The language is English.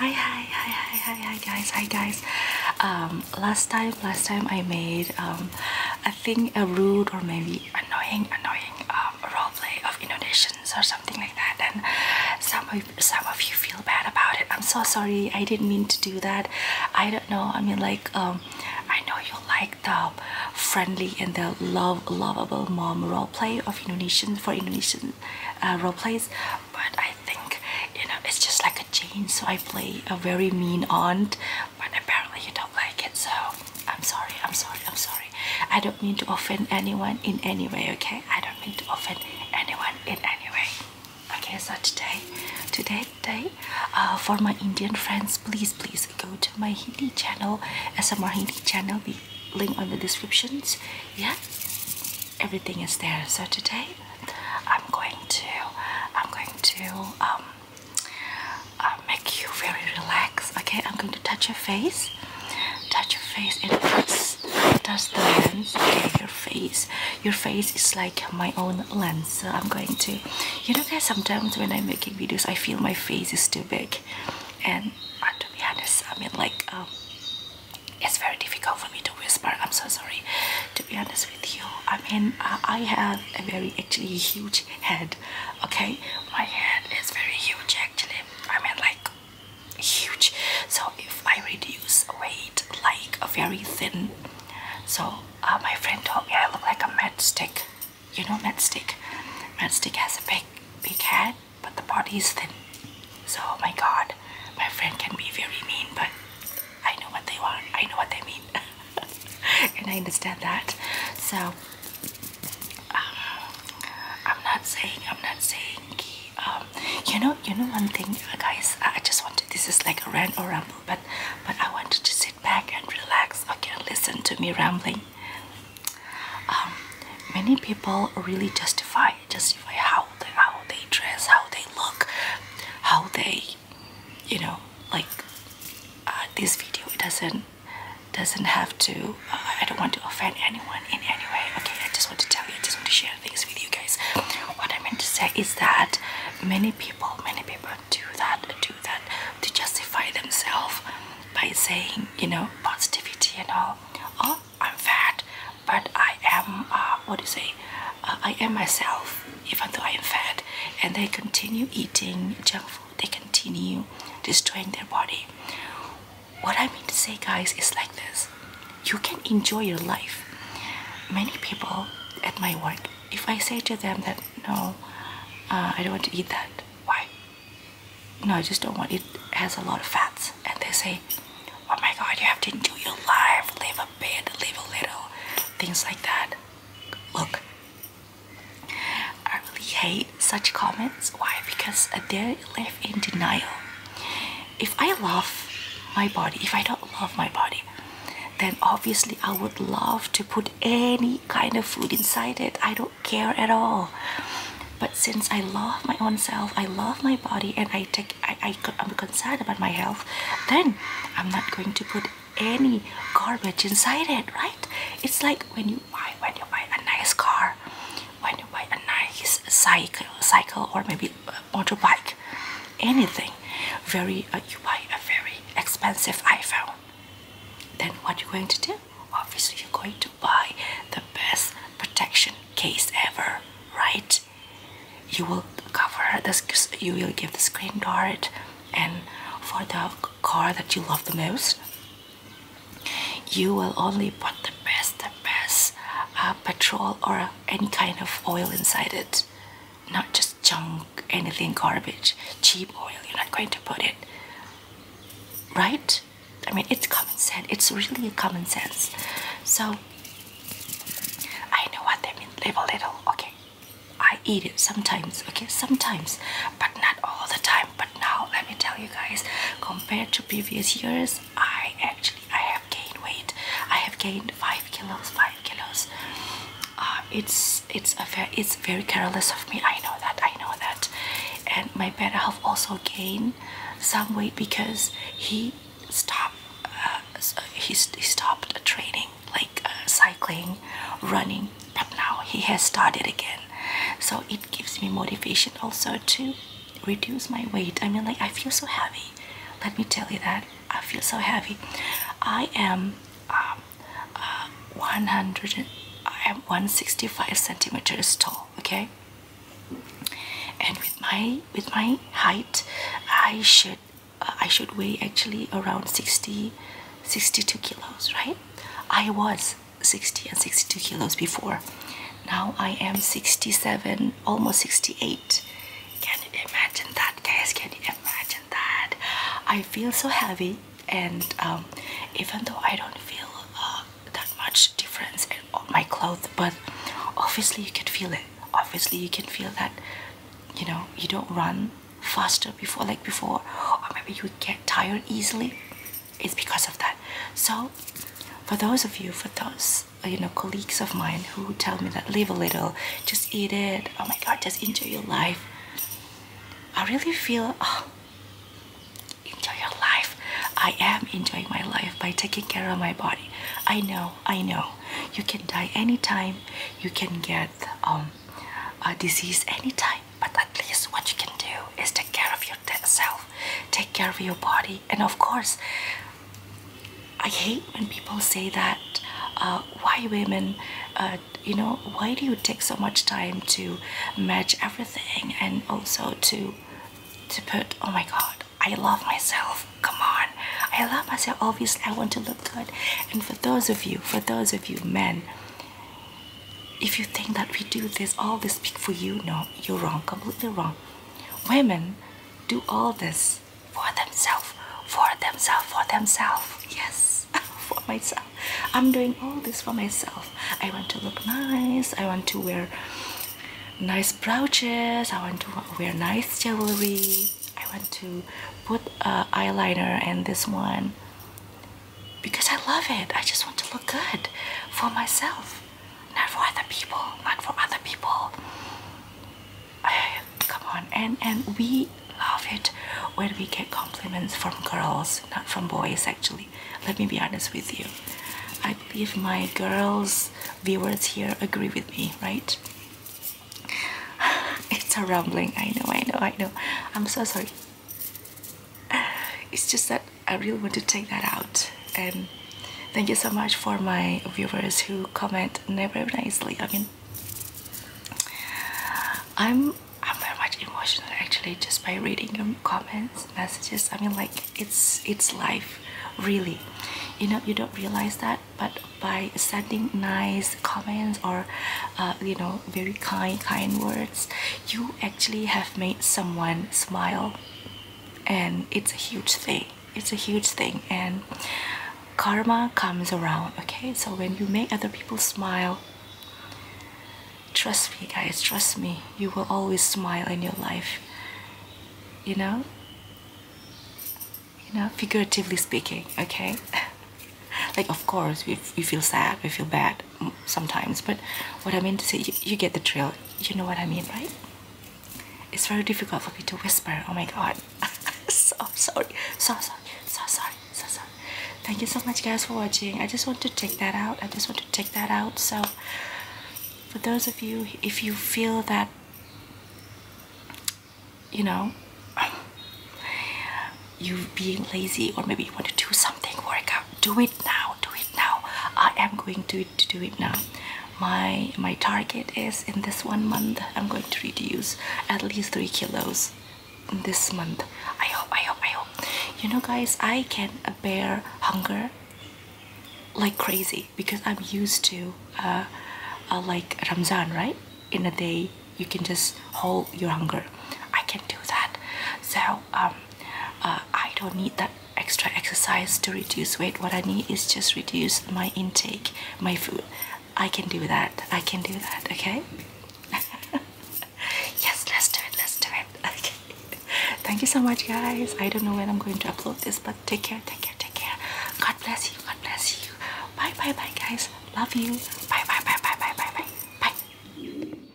hi hi hi hi hi hi guys hi guys um last time last time i made um i think a rude or maybe annoying annoying um role play of indonesians or something like that and some of some of you feel bad about it i'm so sorry i didn't mean to do that i don't know i mean like um i know you like the friendly and the love lovable mom role play of indonesian for indonesian uh, role plays, but I think you know it's just like a gene. So I play a very mean aunt, but apparently you don't like it. So I'm sorry. I'm sorry. I'm sorry. I don't mean to offend anyone in any way. Okay, I don't mean to offend anyone in any way. Okay, so today, today, today, uh, for my Indian friends, please, please go to my Hindi channel, SMR Hindi channel. The link on the descriptions yeah everything is there so today I'm going to I'm going to um, uh, make you very relaxed okay I'm going to touch your face touch your face and touch, touch the lens okay your face your face is like my own lens so I'm going to you know guys sometimes when I'm making videos I feel my face is too big and uh, to be honest i mean like um, it's very difficult for me to whisper i'm so sorry to be honest with you i mean uh, i have a very actually huge head okay my head is very huge actually i mean like huge so if i reduce weight like a very thin so uh, my friend told me i look like a matchstick you know matstick matstick has a big big head but the body is thin so oh my god my friend can be very mean but i know what they want i know what they mean and i understand that so uh, i'm not saying i'm not saying um, you know you know one thing guys i just wanted. this is like a rant or ramble but but i wanted to sit back and relax okay listen to me rambling um, many people really justify justify how they how they dress, how they look, how they, you know, like uh, this video it doesn't doesn't have to. Uh, I don't want to offend anyone in any way. Okay, I just want to tell you, I just want to share things with you guys. What I meant to say is that many people, many people do that, do that to justify themselves by saying you know positivity and all oh i'm fat but i am uh, what do you say uh, i am myself even though i am fat and they continue eating junk food they continue destroying their body what i mean to say guys is like this you can enjoy your life many people at my work if i say to them that no uh, i don't want to eat that why no, I just don't want it. has a lot of fats. And they say, oh my god, you have to enjoy your life, live a bit, live a little, things like that. Look, I really hate such comments. Why? Because they live in denial. If I love my body, if I don't love my body, then obviously I would love to put any kind of food inside it. I don't care at all. But since I love my own self, I love my body, and I take I, I I'm concerned about my health, then I'm not going to put any garbage inside it, right? It's like when you buy when you buy a nice car, when you buy a nice cycle, cycle or maybe a motorbike, anything. Very uh, you buy a very expensive iPhone. Then what you're going to do? Obviously, you're going to buy the best protection case ever, right? You will cover this. You will give the screen guard, and for the car that you love the most, you will only put the best, the best uh, petrol or any kind of oil inside it, not just junk, anything garbage, cheap oil, you're not going to put it. Right? I mean, it's common sense. It's really common sense. So, I know what they mean. Live a little, okay. I eat it sometimes, okay, sometimes, but not all the time. But now, let me tell you guys, compared to previous years, I actually I have gained weight. I have gained five kilos, five kilos. Uh, it's it's a very it's very careless of me. I know that. I know that. And my better half also gained some weight because he stopped. Uh, he, stopped training like uh, cycling, running. But now he has started again, so it gives me motivation also to reduce my weight. I mean, like I feel so heavy. Let me tell you that I feel so heavy. I am um, um, um, I am 165 centimeters tall okay and with my with my height I should uh, I should weigh actually around 60 62 kilos right I was 60 and 62 kilos before now I am 67 almost 68 can you imagine that guys can you imagine that I feel so heavy and um, even though I don't feel uh, that much difference in my clothes but obviously you can feel it obviously you can feel that you know you don't run faster before like before or maybe you get tired easily it's because of that so for those of you for those uh, you know, colleagues of mine who tell me that live a little, just eat it. Oh my God, just enjoy your life. I really feel, oh, enjoy your life. I am enjoying my life by taking care of my body. I know, I know. You can die anytime. You can get um, a disease anytime. But at least what you can do is take care of yourself. Take care of your body. And of course, I hate when people say that. Uh, why women? Uh, you know, why do you take so much time to match everything and also to to put? Oh my God, I love myself. Come on, I love myself. Obviously, I want to look good. And for those of you, for those of you men, if you think that we do this, all this speak for you, no, you're wrong, completely wrong. Women do all this for themselves, for themselves, for themselves. Yes, for myself. I'm doing all this for myself. I want to look nice. I want to wear nice brooches. I want to wear nice jewelry. I want to put uh, eyeliner and this one because I love it. I just want to look good for myself not for other people not for other people come on and and we love it when we get compliments from girls not from boys actually let me be honest with you I believe my girls viewers here agree with me right it's a rambling. I know I know I know I'm so sorry it's just that I really want to take that out and thank you so much for my viewers who comment never nicely i mean i'm i'm very much emotional actually just by reading your comments messages i mean like it's it's life really you know you don't realize that but by sending nice comments or uh, you know very kind kind words you actually have made someone smile and it's a huge thing it's a huge thing and karma comes around okay so when you make other people smile trust me guys trust me you will always smile in your life you know you know figuratively speaking okay like of course we, we feel sad we feel bad sometimes but what i mean to say you, get the drill you know what i mean right it's very difficult for me to whisper. Oh my god. so sorry. So sorry. So sorry. So sorry. Thank you so much guys for watching. I just want to take that out. I just want to take that out. So for those of you if you feel that you know you being lazy or maybe you want to do something work out do it now do it now i am going to, do it now my my target is in this one month i'm going to reduce at least three kilos in this month i hope i hope i hope you know guys i can bear hunger like crazy because i'm used to uh, uh, like ramzan right in a day you can just hold your hunger i can do that so um, uh, i don't need that extra exercise to reduce weight. What I need is just reduce my intake, my food. I can do that. I can do that. Okay. yes, let's do it. Let's do it. Okay. Thank you so much, guys. I don't know when I'm going to upload this, but take care. Take care. Take care. God bless you. God bless you. Bye, bye, bye, guys. Love you. Bye, bye, bye, bye, bye, bye, bye. Bye.